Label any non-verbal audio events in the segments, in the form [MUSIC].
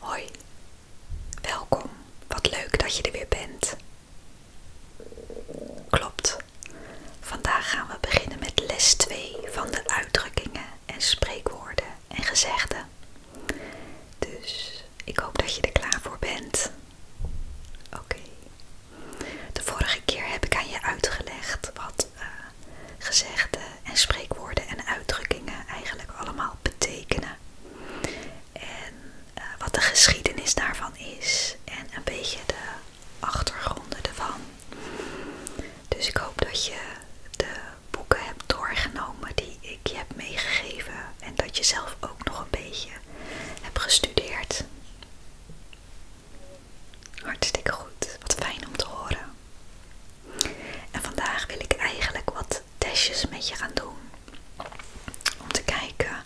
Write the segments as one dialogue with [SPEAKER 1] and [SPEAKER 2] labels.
[SPEAKER 1] Hoi, welkom. Wat leuk dat je er weer bent. Klopt. Vandaag gaan we beginnen met les 2 van de uitdrukkingen en spreekwoorden en gezegden. Dus ik hoop dat je er klaar voor bent. Oké, de vorige keer heb ik aan je uitgelegd wat eh, gezegden en spreekwoorden en uitdrukkingen eigenlijk allemaal betekenen. En eh, wat de geschiedenis daarvan is en een beetje de achtergronden ervan. Dus ik hoop dat je de boeken hebt doorgenomen die ik je heb meegegeven en dat je zelf ook nog een beetje hebt gestudeerd. Hartstikke goed. Wat fijn om te horen. En vandaag wil ik eigenlijk wat testjes met je gaan doen. Om te kijken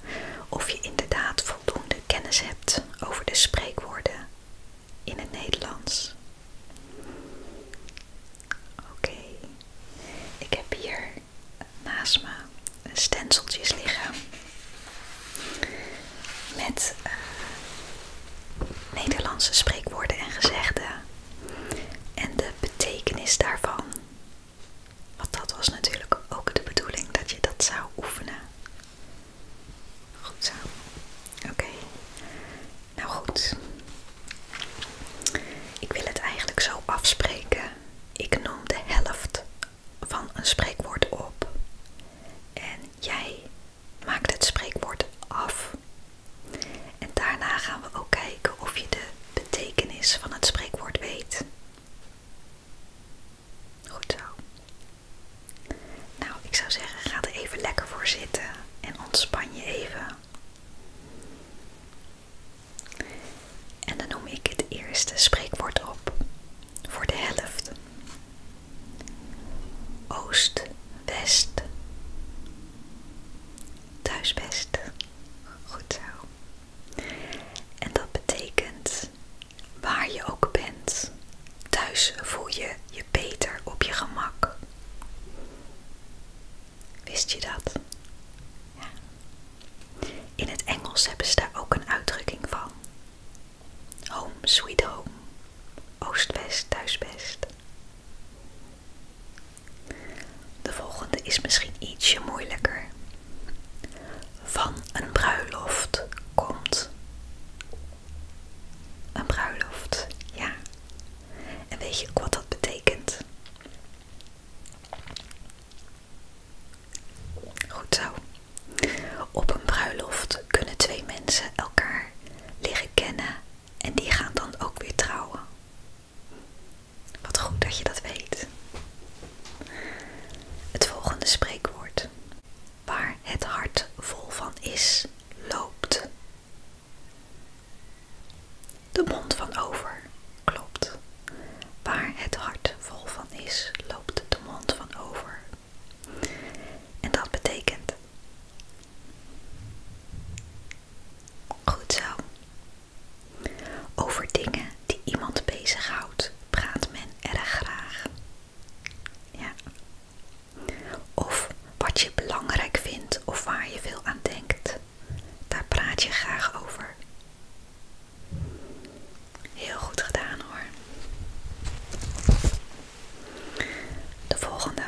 [SPEAKER 1] of je inderdaad voldoende kennis hebt over de spreekwoorden in het Nederlands. Oké, ik heb hier naast me stenceltjes liggen. Met eh, Nederlandse spreekwoorden en gezegden. En de betekenis daarvan. Want dat was natuurlijk ook de bedoeling dat je dat zou oefenen. Goed zo. Oké. Nou goed. Ik wil het eigenlijk zo afspreken. Ik noem de helft van een spreekwoord op en jij maakt het spreekwoord af. En daarna gaan we ook kijken of je de betekenis van het spreekwoord weet. Goed zo. Nou, ik zou zeggen, ga er even lekker voor zitten en ontspan je even. En dan noem ik het eerste spreekwoord op voor de helft. Oost, West. Thuisbest. Goed zo. En dat betekent waar je ook bent. Thuis voel je je beter op je gemak. Wist je dat? In het Engels hebben ze daar ook een uitdrukking van. Home Sweet Home, Oost-West, Thuis-West. De volgende is misschien ietsje moeilijker. Van een bruiloft komt. Een bruiloft, ja. En weet je ook wat dat betekent? Goed zo. Op een bruiloft kunnen twee mensen elkaar leren kennen en die gaan dan ook weer trouwen. Wat goed dat je dat weet. Het volgende spreekwoord. Waar het hart vol van is, loopt. De mond van over, klopt. Waar het hart vol van is, loopt de mond van over. En dat betekent. Goed zo. Over dingen die iemand bezighoudt, praat men erg graag. Ja. Of wat je belangrijk vindt of waar je veel aan denkt, daar praat je graag over. Heel goed gedaan hoor. De volgende.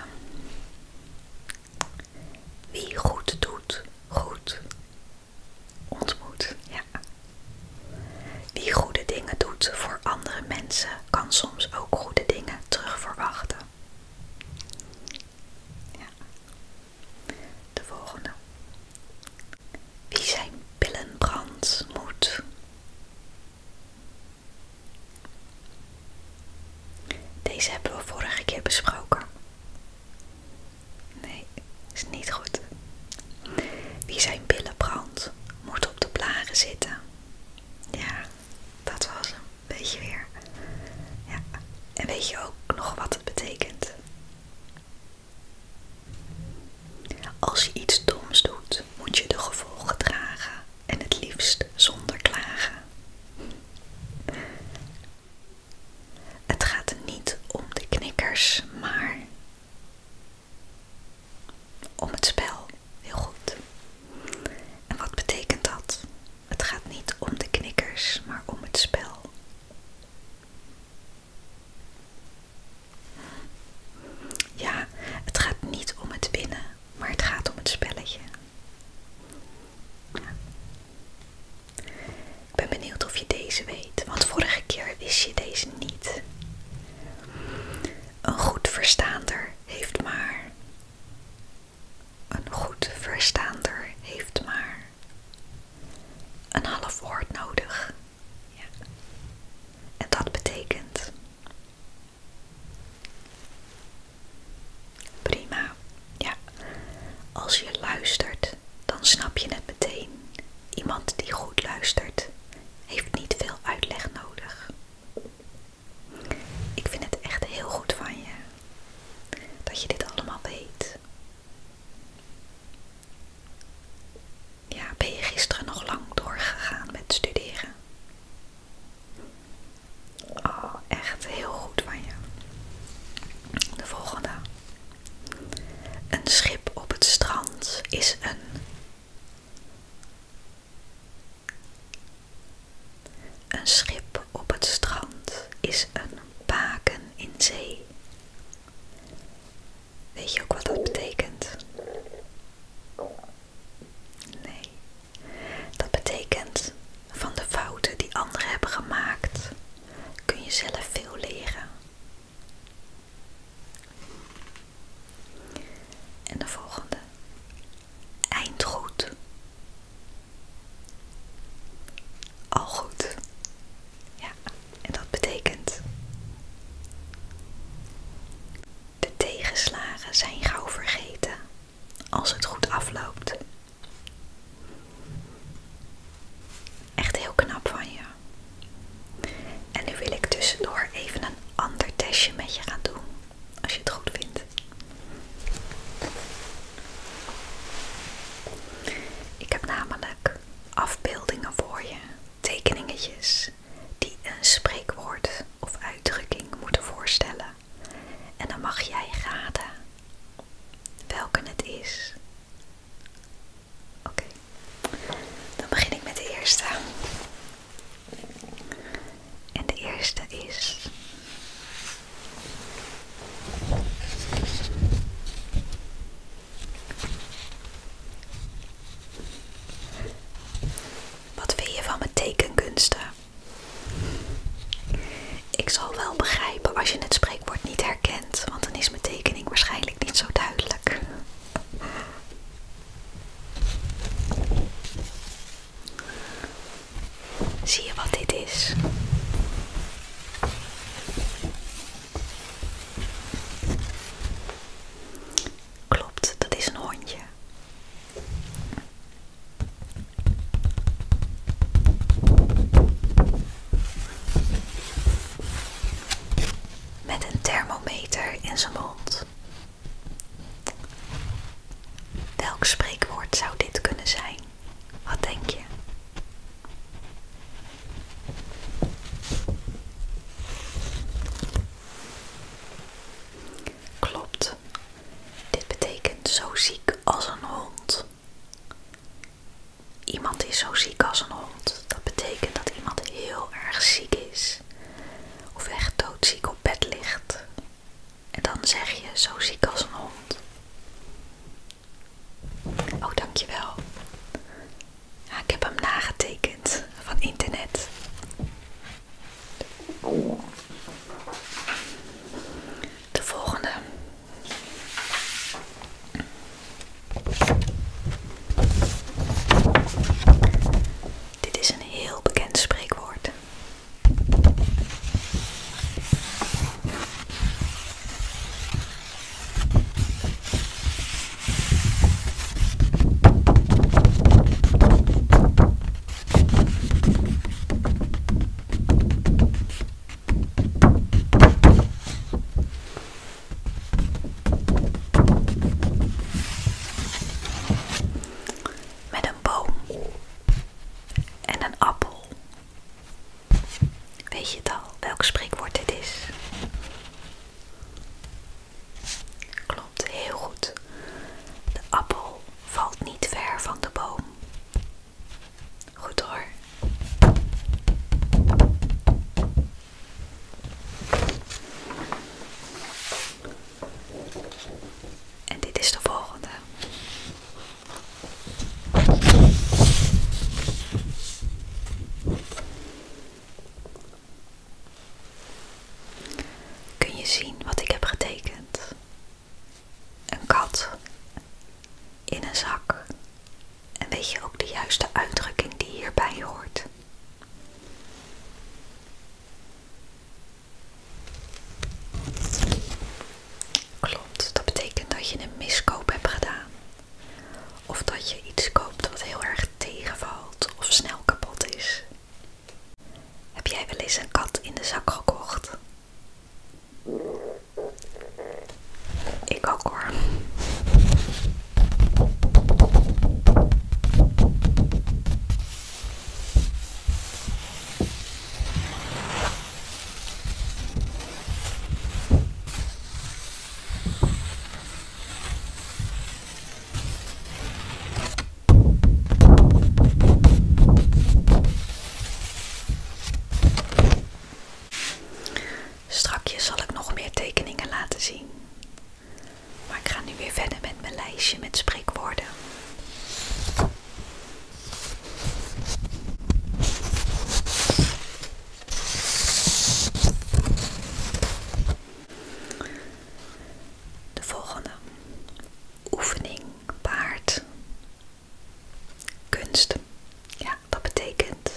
[SPEAKER 1] Wie goed doet, goed ontmoet. Ja. Wie goede dingen doet voor andere mensen, kan soms ook goede dingen terugverwachten. Ja. De volgende. Wie zijn pillen moet. Deze hebben we vorige keer besproken. Nee, is niet goed. Wie zijn pillen moet op de blaren zitten. Ja, dat was hem. beetje weer. Ja. En weet je ook nog wat het betekent? Als je iets doms doet, moet je de gevolgen dragen en het liefst zonder klagen. Het gaat niet om de knikkers, maar om het spel. Heel goed. En wat betekent dat? Het gaat niet om de knikkers, maar om het spel. Ja, het gaat niet om het winnen, maar het gaat om het spelletje. Ik ben benieuwd of je deze weet, want vorige keer wist je deze niet. Een goed verstaander heeft maar. Een goed verstaander heeft maar. Een half woord nodig. Ja. En dat betekent. Prima. Ja. Als je luistert, dan snap je het meteen. Iemand die goed luistert, heeft niet veel uitleg nodig. Ik vind het echt heel goed van je dat je dit allemaal weet. Ja, ben je gisteren nog lang doorgegaan met studeren? Oh, echt heel goed van je. De volgende. Een schip op het strand is een. Een schip op het strand is een baken in zee. Weet je ook wat dat betekent? Nee. Dat betekent van de fouten die anderen hebben gemaakt kun je zelf veel leren. En de volgende. Eind goed. Al goed. Ja. En dat betekent. De tegenslagen zijn gauw vergeten als het goed afloopt. Echt heel knap van je. En nu wil ik tussendoor even een ander testje met je gaan doen, als je het goed vindt. Ik heb namelijk afbeeldingen voor je tekeningetjes die een spreekwoord of uitdrukking moeten voorstellen. En dan mag jij raden welke het is. Oké, dan begin ik met de eerste. En de eerste is. Wat vind je van mijn tekenkunsten? Ik zal wel begrijpen als je het spreekwoord niet herkent, want dan is mijn tekening waarschijnlijk niet zo duidelijk. Zie je wat dit is? Klopt, dat is een hondje. Met een thermometer in zijn mond. Welk spreekwoord zou dit kunnen zijn? Wat denk je? Klopt. Dit betekent zo ziek als een hond. Iemand is zo ziek als een hond. Dat betekent dat iemand heel erg ziek is. Of echt doodziek op bed ligt. En dan zeg je zo ziek als een hond. Oh, dankjewel. wel. ik heb hem nagetekend van internet. De volgende. Dit is een heel bekend spreekwoord. Met een boom en een appel Weet je het al, welk spreekwoord dit is? Klopt, heel goed. De appel valt niet ver van de boom. Goed hoor. En dit is de volgende. Kun je zien wat ik heb getekend? Een kat in een zak. En weet je ook de juiste uitdrukking die hierbij hoort? Klopt, dat betekent dat je een miskoop hebt gedaan. Of dat je iets koopt wat heel erg tegenvalt of snel kapot is. Heb jij wel eens een kat in de zak gekocht? Ik ook hoor. Strakjes zal ik nog meer tekeningen laten zien. Maar ik ga nu weer verder met mijn lijstje met spreekwoorden. De volgende oefening paard. Kunst. Ja, dat betekent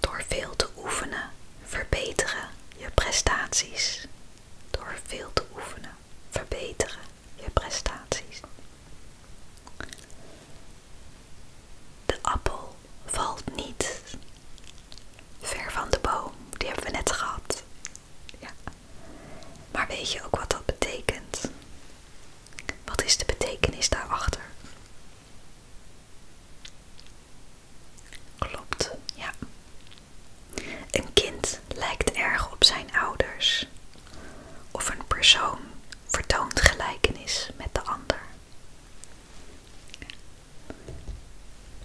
[SPEAKER 1] door veel te oefenen verbeteren je prestaties. Door veel te oefenen verbeteren je prestaties. De appel valt niet ver van de boom. Die hebben we net gehad. Ja. Maar weet je ook wat dat betekent? Wat is de betekenis daarachter? Klopt, ja. Een kind lijkt erg op zijn ouders. Of een persoon vertoont gelijkenis met de ander.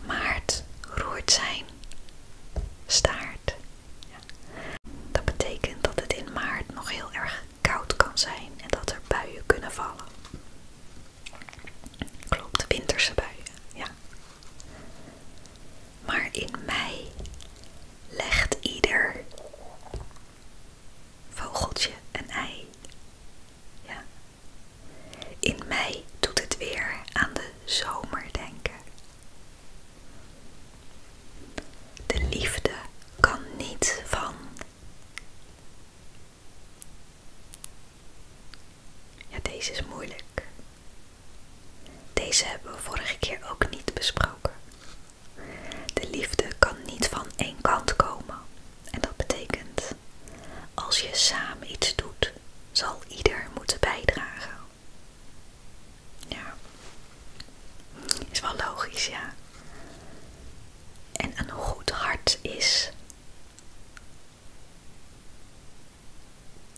[SPEAKER 1] Maart roert zijn staart. Dat betekent dat het in maart nog heel erg koud kan zijn en dat er buien kunnen vallen. Klopt, winterse buien, ja. Maar in mei legt ieder Vogeltje en ei. Ja. In mei doet het weer aan de zomer denken. De liefde kan niet van. Ja, deze is moeilijk. Deze hebben we vorige keer ook niet besproken. De liefde kan niet van één kant komen. En dat betekent, als je samen iets doet, zal ieder moeten bijdragen. Ja, is wel logisch, ja. En een goed hart is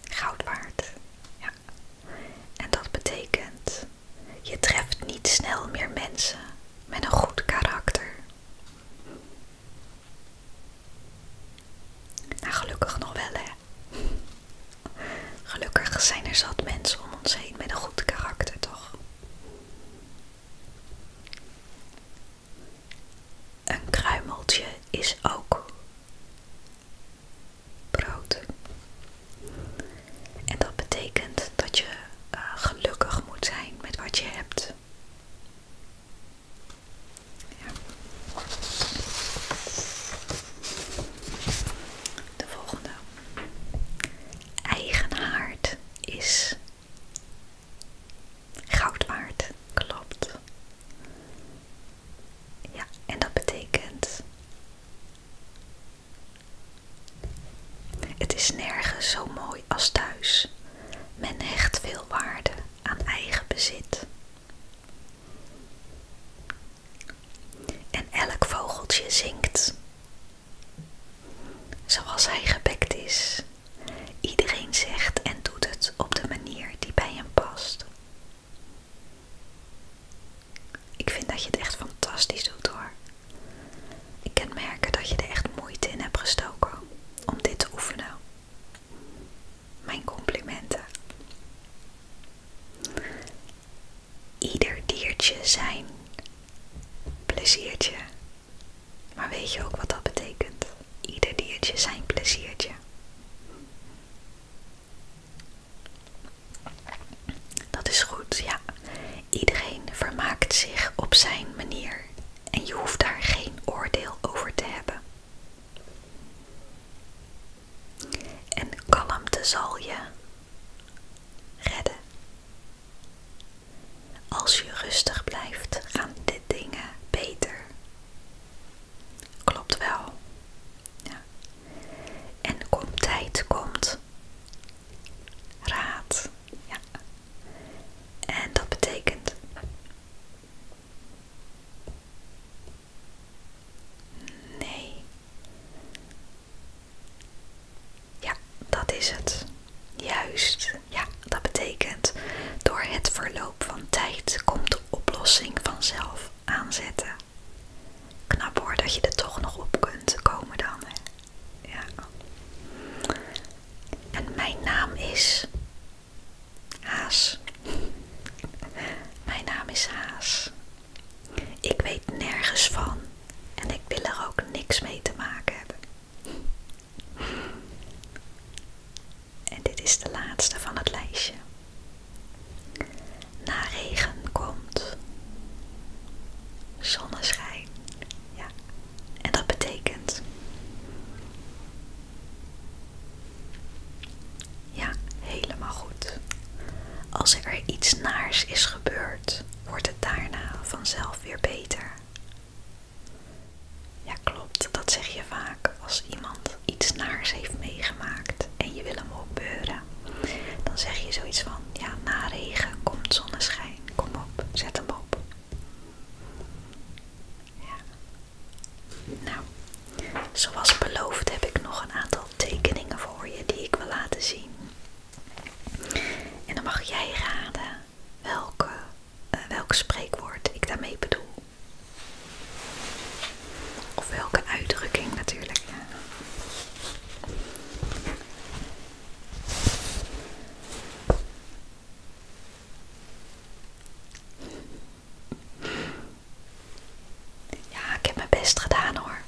[SPEAKER 1] goud waard. Ja. En dat betekent je treft niet snel meer mensen met een goed karakter. Nou, gelukkig nog wel, hè. [LAUGHS] Gelukkig zijn er zat mensen om ons heen met een goed karakter, toch? Een kruimeltje is ook brood. En dat betekent dat je eh, gelukkig moet zijn met wat je hebt. De volgende. eigenaard is goud klopt. Ja, en dat betekent het is nergens zo mooi als thuis. Men hecht veel waarde aan eigen bezit. En elk vogeltje zingt zoals hij gebekt is. Iedereen zegt en doet het op de manier die bij hem past. Ik vind dat je het echt fantastisch doet hoor. Ik kan merken dat je er echt moeite in hebt gestoken om dit te oefenen. Mijn complimenten. Ieder diertje zijn pleziertje. Maar weet je ook wat dat betekent? Ieder diertje zijn pleziertje. Dat is goed, ja. Iedereen vermaakt zich op zijn manier en je hoeft daar geen oordeel over te hebben. En kalmte zal je redden. Als je rustig blijft, gaan dit dingen beter. Klopt wel. Ja. En komt tijd, komt, Raad. Ja. En dat betekent. Nee. Ja, dat is het. Juist. Ja, dat betekent. Door het verloop van tijd komt de oplossing vanzelf aanzetten. Knap hoor dat je er toch nog op kunt komen dan. Hè? Ja. En mijn naam is Haas. mijn naam is Haas. Ik weet nergens van en ik wil er ook niks mee te maken hebben. En dit is de laatste van het lijstje. Na regen komt zonneschijn. Ja. En dat betekent. Ja, helemaal goed. Als er iets naars is gebeurd, wordt het daarna vanzelf weer beter. Ja, klopt. Dat zeg je vaak als iemand iets naars heeft meegemaakt en je wil hem opbeuren. Dan zeg je zoiets van, ja, na regen komt zonneschijn. Kom op, zet hem op. Nou, zoals beloofd heb ik nog een aantal tekeningen voor je die ik wil laten zien. En dan mag jij raden welke, eh, welk spreekwoord ik daarmee bedoel. Of welke uitdrukking natuurlijk. Ja, ik heb mijn best gedaan hoor.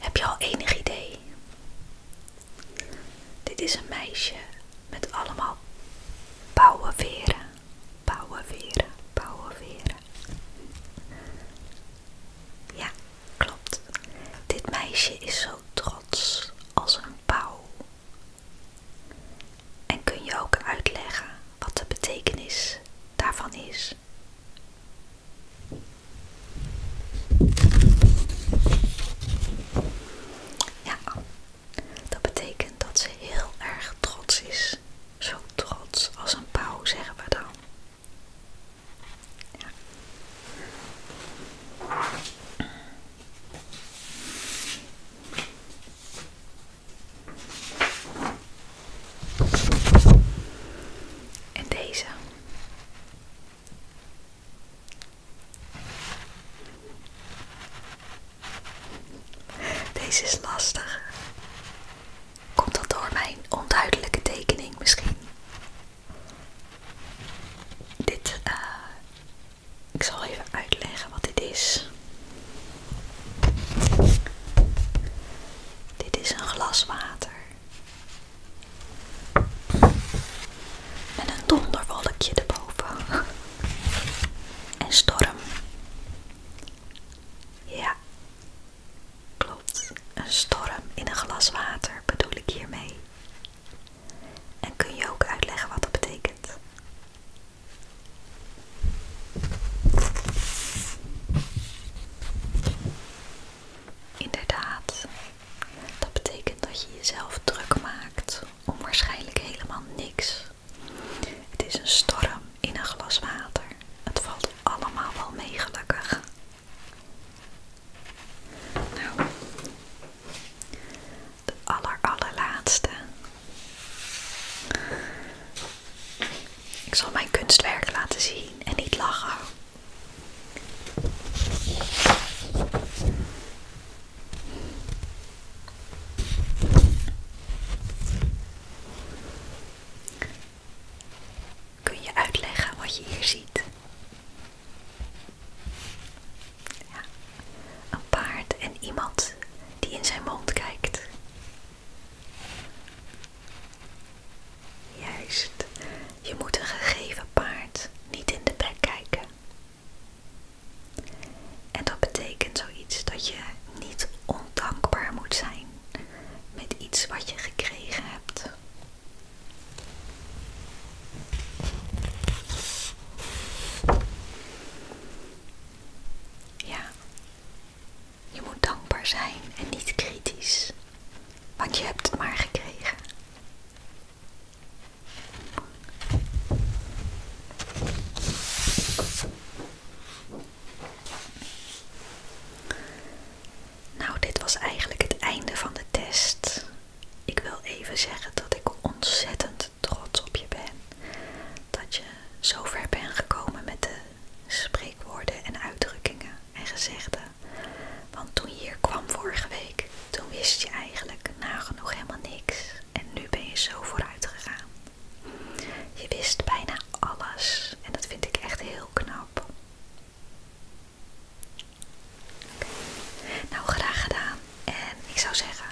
[SPEAKER 1] Heb je al enig idee? Dit is een meisje met allemaal pauwenveren, pauwenveren, pauwenveren. Ja, Klopt. Dit meisje is zo trots als een pauw. En kun je ook uitleggen wat de betekenis daarvan is? Ja, dat betekent dat ze heel erg trots is. Zo trots als een pauw, zeggen we dan. Ja. En deze. Deze is lastig. Komt dat door mijn onduidelijke tekening misschien? Dit, eh. ik zal even uitleggen wat dit is. Dit is een glas water. Met een donderwolkje erboven. En storm. Ja, klopt. Een storm in een glas water bedoel ik hiermee. En kun je ook uitleggen wat dat betekent? Inderdaad, dat betekent dat je jezelf druk maakt om waarschijnlijk helemaal niks. Het is een storm in een glas water. Het valt allemaal wel mee gelukkig. Nou, de allerlaatste. Ik zal mijn kunstwerk laten zien en niet lachen. Kun je uitleggen wat je hier ziet? Ja. Een paard en iemand die in zijn mond kijkt. Juist, je moet een gegeven paard niet in de bek kijken. En dat betekent zoiets dat je niet ondankbaar moet zijn met iets wat je gekregen hebt ja, je moet dankbaar zijn en niet kritisch, want je hebt het maar gekregen. Nou, dit was eigenlijk het einde van de test. Ik wil even zeggen dat ik ontzettend trots op je ben. Dat je zo ver bent gekomen met de spreekwoorden en uitdrukkingen en gezegden. Want toen je hier kwam vorige week, toen wist je eigenlijk nagenoeg helemaal niks. En nu ben je zo vooruit gegaan. Je wist bijna alles en dat vind ik echt heel knap. Oké, Nou, graag gedaan. En ik zou zeggen,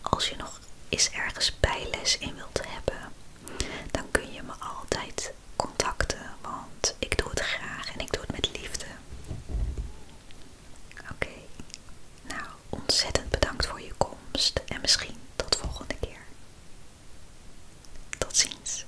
[SPEAKER 1] als je nog eens ergens bijles in wilt hebben, dan kun je me altijd contacten, want ik doe het graag en ik doe het met liefde. Oké, nou ontzettend bedankt voor je komst en misschien tot volgende keer. Tot ziens.